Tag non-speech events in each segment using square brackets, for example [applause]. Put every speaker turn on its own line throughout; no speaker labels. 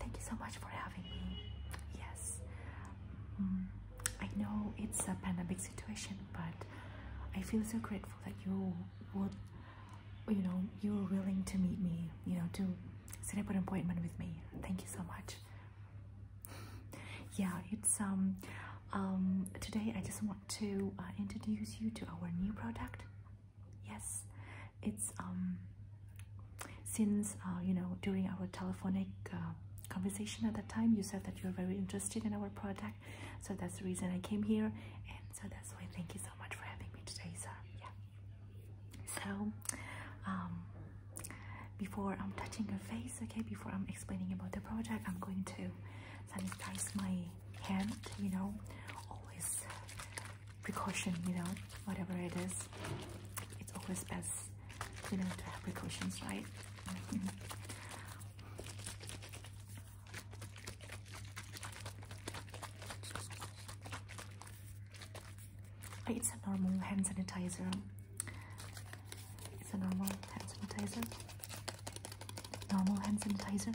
Thank you so much for having me. Yes, mm, I know it's a pandemic situation, but I feel so grateful that you would, you know, you were willing to meet me, you know, to set up an appointment with me. Thank you so much. yeah, it's, um, um, today I just want to uh, introduce you to our new product. Yes, it's um, since uh, you know during our telephonic uh, conversation at that time you said that you're very interested in our product, so that's the reason I came here, and so that's why thank you so much for having me today, sir. Yeah. So, um, before I'm touching your face, okay, before I'm explaining about the project, I'm going to sanitize my Hand, you know, always precaution, you know, whatever it is. It's always best, you know, to have precautions, right? [laughs] it's a normal hand sanitizer. It's a normal hand sanitizer normal hand sanitizer.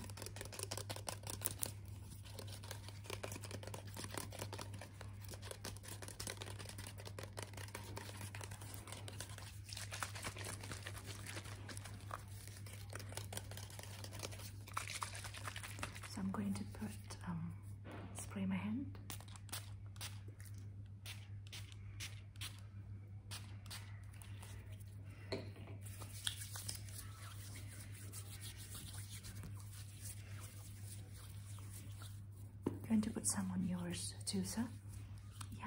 So I'm going to put um, spray my hand. Going to put some on yours too, sir? Yeah?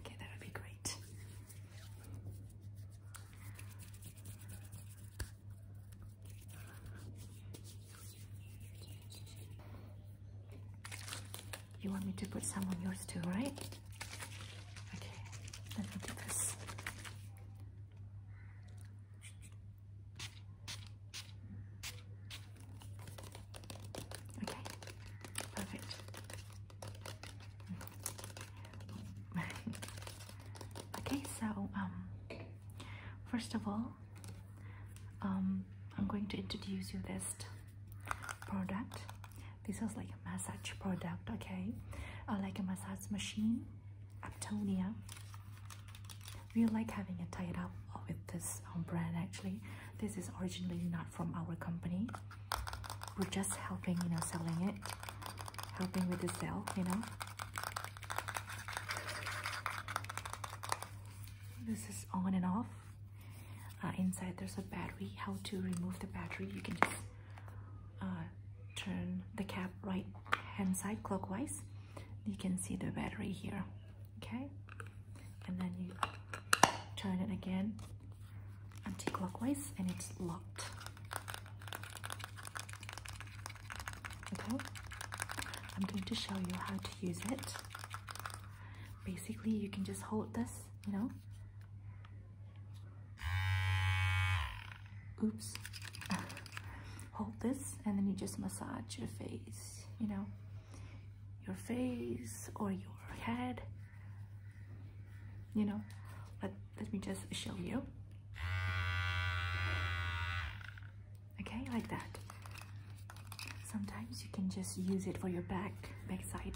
Okay, that would be great. You want me to put some on yours too, right? Okay, let me do this. Okay, perfect. [laughs] okay, so um, first of all, um, I'm going to introduce you this product. This is like a massage product, okay? Uh, like a massage machine, Aptonia. We like having it tied up with this um, brand actually. This is originally not from our company. We're just helping, you know, selling it, helping with the sale, you know this is on and off uh, inside there's a battery how to remove the battery you can just uh, turn the cap right hand side clockwise you can see the battery here okay and then you turn it again anti-clockwise and it's locked Okay, I'm going to show you how to use it. Basically, you can just hold this, you know. Oops. [laughs] hold this, and then you just massage your face, you know, your face or your head. You know, let, let me just show you okay like that sometimes you can just use it for your back backside.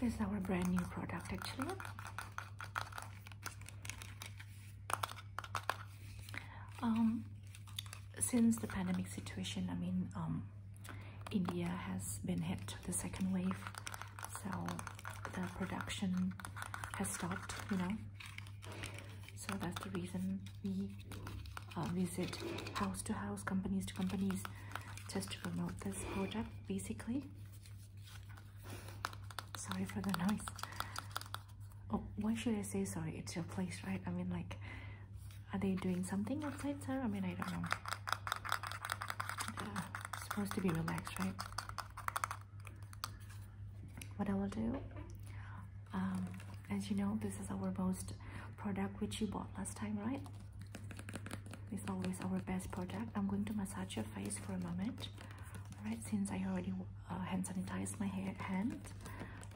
this is our brand new product actually um since the pandemic situation i mean um india has been hit the second wave so the production has stopped you know so that's the reason we uh, visit house to house companies to companies just to promote this product basically sorry for the noise oh why should i say sorry it's your place right i mean like are they doing something outside sir i mean i don't know supposed to be relaxed, right? What I will do, um, as you know, this is our most product which you bought last time, right? It's always our best product. I'm going to massage your face for a moment. Alright, since I already uh, hand sanitized my hair, hand,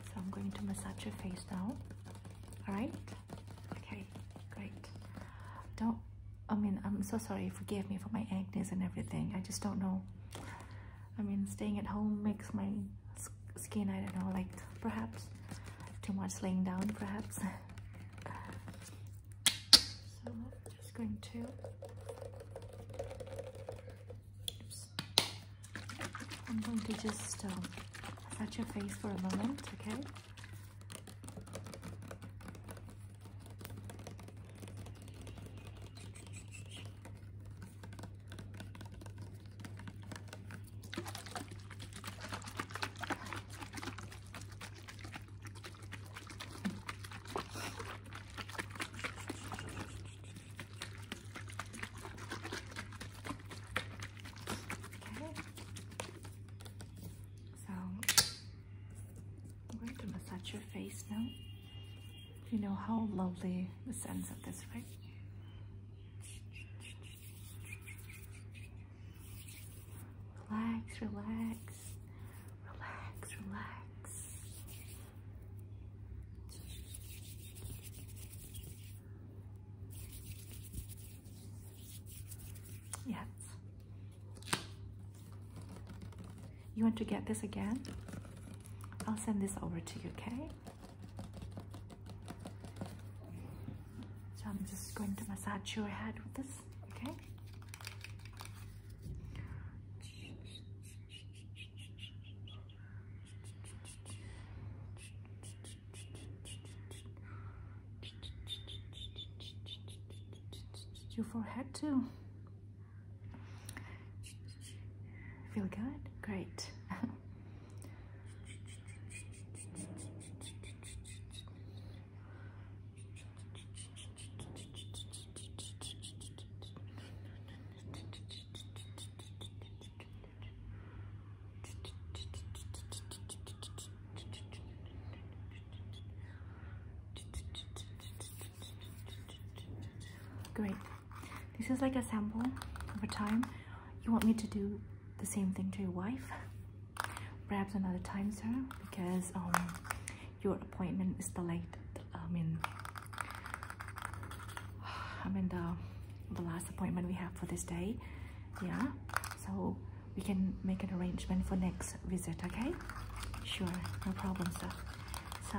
so I'm going to massage your face now. Alright? Okay. Great. Don't, I mean, I'm so sorry. Forgive me for my acne and everything. I just don't know. I mean, staying at home makes my skin, I don't know, like perhaps too much laying down, perhaps. [laughs] so I'm just going to I'm going to just um, set your face for a moment, okay? Okay. So I'm going to massage your face now. You know how lovely the sense of this, right? Relax, relax, relax, relax. Yes. You want to get this again? I'll send this over to you, okay? So I'm just going to massage your head with this, okay? Your forehead too. Feel good? Great. [laughs] Great. This is like a sample of a time. You want me to do the same thing to your wife? Perhaps another time, sir, because um, your appointment is delayed I mean, I mean the the last appointment we have for this day. Yeah, so we can make an arrangement for next visit. Okay, sure, no problem, sir. So.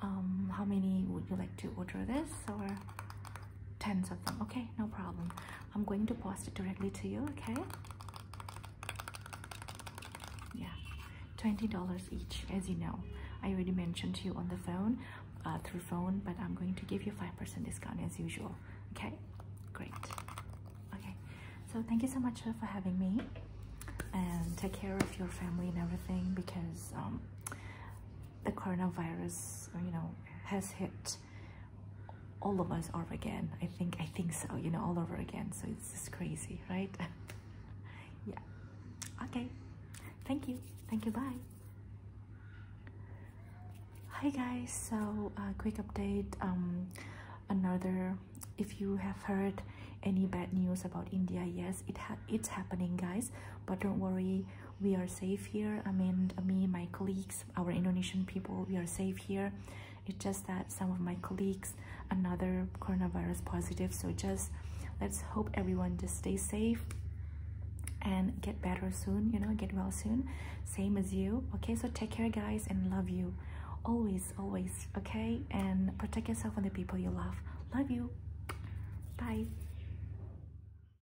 Um, how many would you like to order this or tens of them? Okay, no problem. I'm going to post it directly to you, okay? Yeah, $20 each, as you know. I already mentioned to you on the phone, uh, through phone, but I'm going to give you 5% discount as usual, okay? Great. Okay, so thank you so much uh, for having me and take care of your family and everything because um, the coronavirus, you know, has hit all of us are again i think i think so you know all over again so it's just crazy right [laughs] yeah okay thank you thank you bye hi guys so a quick update um another if you have heard any bad news about india yes it ha it's happening guys but don't worry we are safe here i mean me my colleagues our indonesian people we are safe here it's just that some of my colleagues another coronavirus positive so just let's hope everyone just stay safe and get better soon you know get well soon same as you okay so take care guys and love you always always okay and protect yourself and the people you love love you bye